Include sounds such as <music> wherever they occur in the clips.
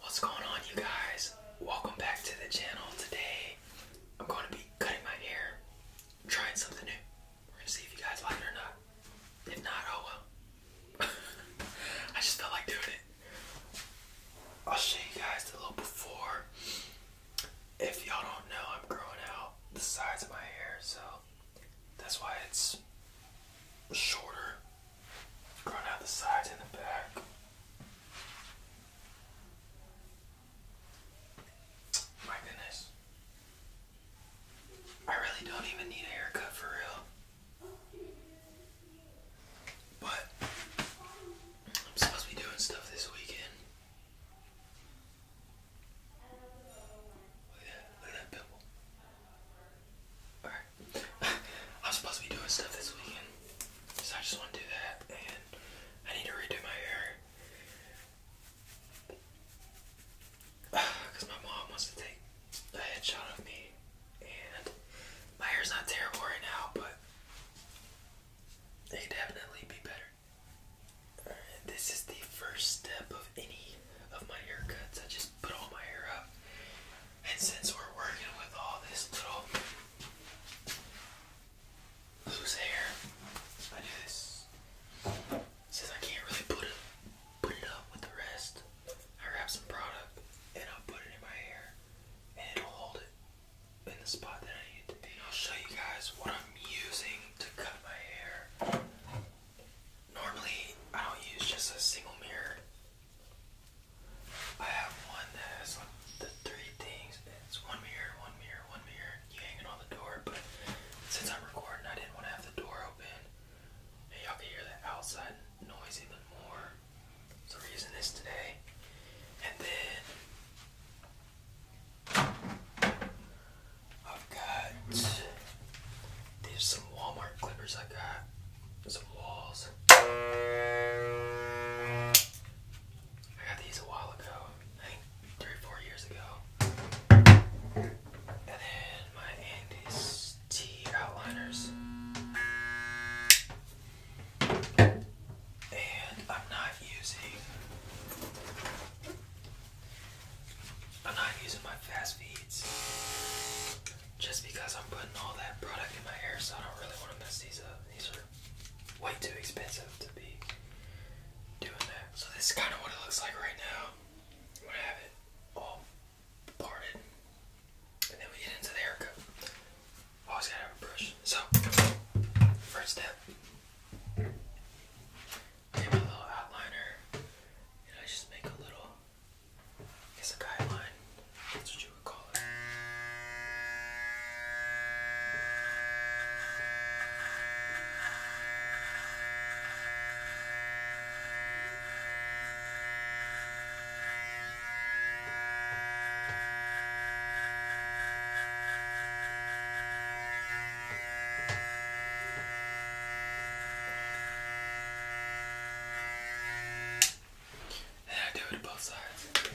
What's going on you guys? Welcome back to the channel. Today I'm going to be cutting my hair. trying something new. We're going to see if you guys like it or not. If not, oh well. <laughs> I just felt like doing it. I'll show you guys the little before. If y'all don't know, I'm growing out the sides of my hair, so that's why it's shorter Going out the sides and the back. My goodness. I really don't even need a haircut for real. But I'm supposed to be doing stuff this weekend. Look at that, look at that pimple. <sighs> I'm supposed to be doing stuff this weekend, so I just want to do that, and I need to redo my hair. Because <sighs> my mom wants to take a headshot of me, and my hair's not terrible right now, but it could definitely be better. this is the first step of any of my haircuts. I just put all my hair up and since we're working with all this little loose hair, I do this. Since I can't really put it put it up with the rest, I wrap some product and i put it in my hair and it'll hold it in the spot that I need it to be. I'll show you guys what I'm using to cut my hair. Normally I don't use just a single mirror. I have one that has the three things. It's one mirror, one mirror, one mirror. You hang on the door, but since I'm recording, I didn't want to have the door open. And y'all can hear the outside noise even more. So we're using this today. And then I've got these some Walmart clippers I got some walls. I got these a while ago, I think three four years ago. And then my Andy's T outliners. And I'm not using I'm not using my fast feeds just because I'm putting all that product in my hair, so I don't really want to mess these up. These are way too expensive to be doing that. So this is kind of what it looks like right now. I'm gonna have it all parted, and then we get into the haircut. Always gotta have a brush. So first step, get my little outliner, and I just make a little is a guideline. That's what you would call it. And I do it to both sides.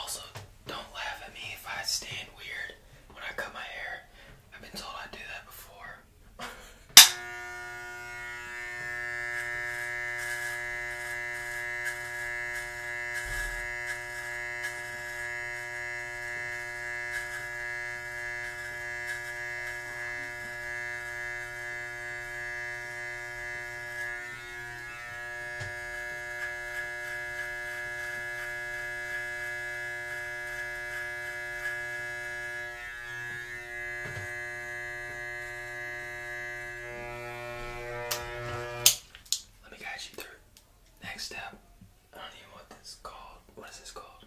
Also, don't laugh at me if I stand weird when I cut my hair. I've been told I do that before. <laughs> Let me guide you through. Next step. I don't even know what this is called. What is this called?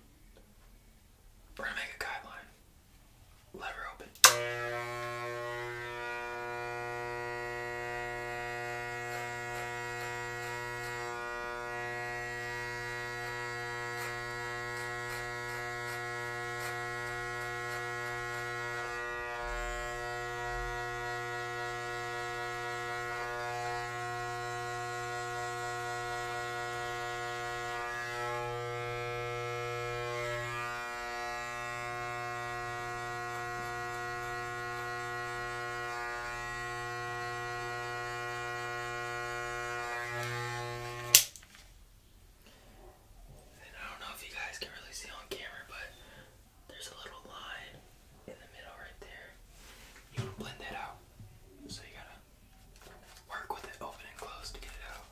We're gonna make a guideline lever open. I don't know if you guys can really see on camera, but there's a little line in the middle right there. You want to blend that out. So you gotta work with it open and close to get it out.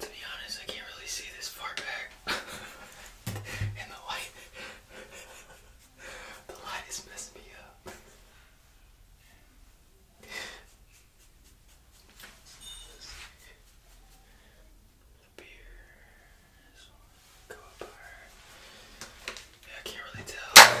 To be honest, I can't really see this far back <laughs> in the light. <laughs> the light is messing me up. The beer this one go up higher. Yeah, I can't really tell.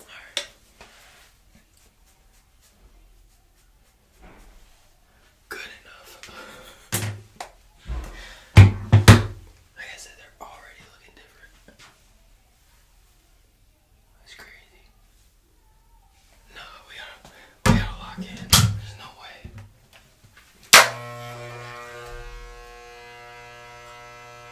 Alright. Good enough. like I said, they're already looking different. That's crazy. No, we gotta, we gotta lock in. There's no way.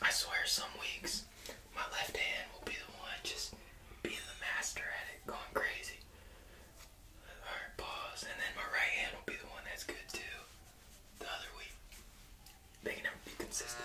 I swear, some weeks my left hand will be the one just being the master at it, going crazy. Alright, pause. And then my right hand will be the one that's good too. The other week. They can never be consistent.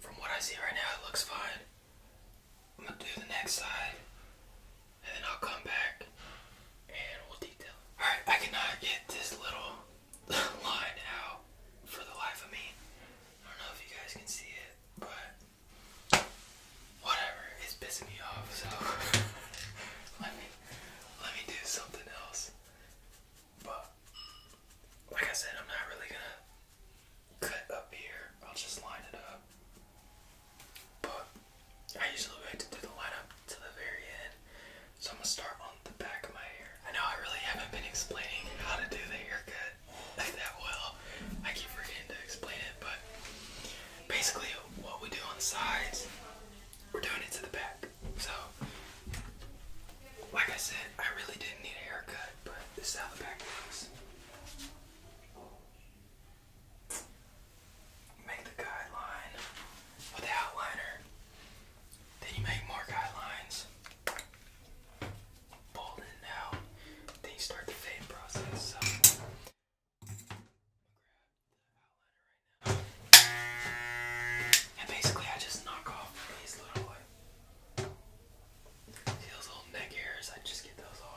From what I see right now, it looks fine. I'm gonna do the next side and then I'll come back Alright, I cannot get this little <laughs> line out for the life of me. I don't know if you guys can see it, but whatever, it's pissing me off, so <laughs> let me let me do something else. But like I said, I'm not really gonna cut up here. I'll just line it up. But I usually like to do the up to the very end. So I'm gonna start on the back of my hair. I know I really haven't been explaining how to do the haircut <laughs> that well. I keep forgetting to explain it, but basically what we do on the sides, we're doing it to the back. So like I said, I really didn't need a haircut, but this is how the back looks make the guideline with the outliner. Then you make more guidelines. Bold it out. Then you start the fade process. I'm gonna grab the outliner right now. And basically I just knock off these little like see those little neck hairs, I just get those off.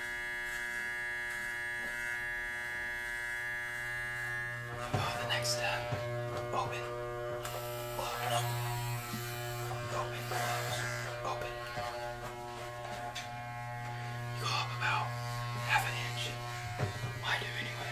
Oh, the next step. Open. Close. No. Open. Close. Open. You go up about half an inch. I do anyway.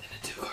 Then a two card.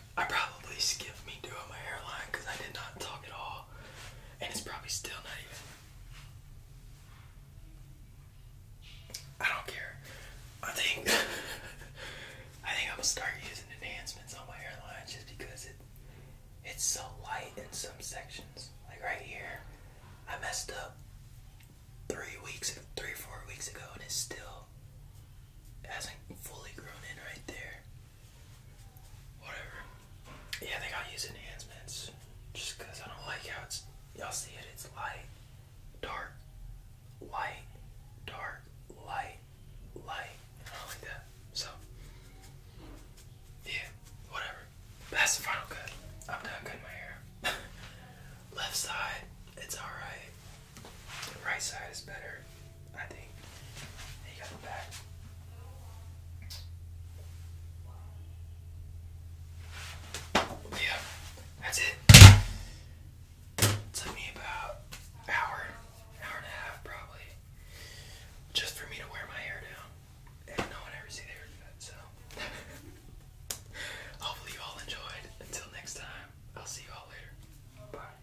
I probably skipped me doing my hairline because I did not talk at all. And it's probably still not even. I don't care. I think <laughs> I think I'm gonna start using enhancements on my hairline just because it it's so light in some sections. Like right here, I messed up three weeks, three four weeks ago, and it still hasn't fully grown in right there. Whatever. Yeah, they got use enhancements. Just because I don't like how it's. Y'all see it? It's light, dark, light, dark, light, light. I don't like that. So. Yeah, whatever. That's the final cut. I'm done cutting my hair. <laughs> Left side, it's alright. The right side is better, I think. You got that's it. Took me about hour, hour and a half probably, just for me to wear my hair down, and no one ever see the So, <laughs> hopefully you all enjoyed. Until next time, I'll see you all later. Bye.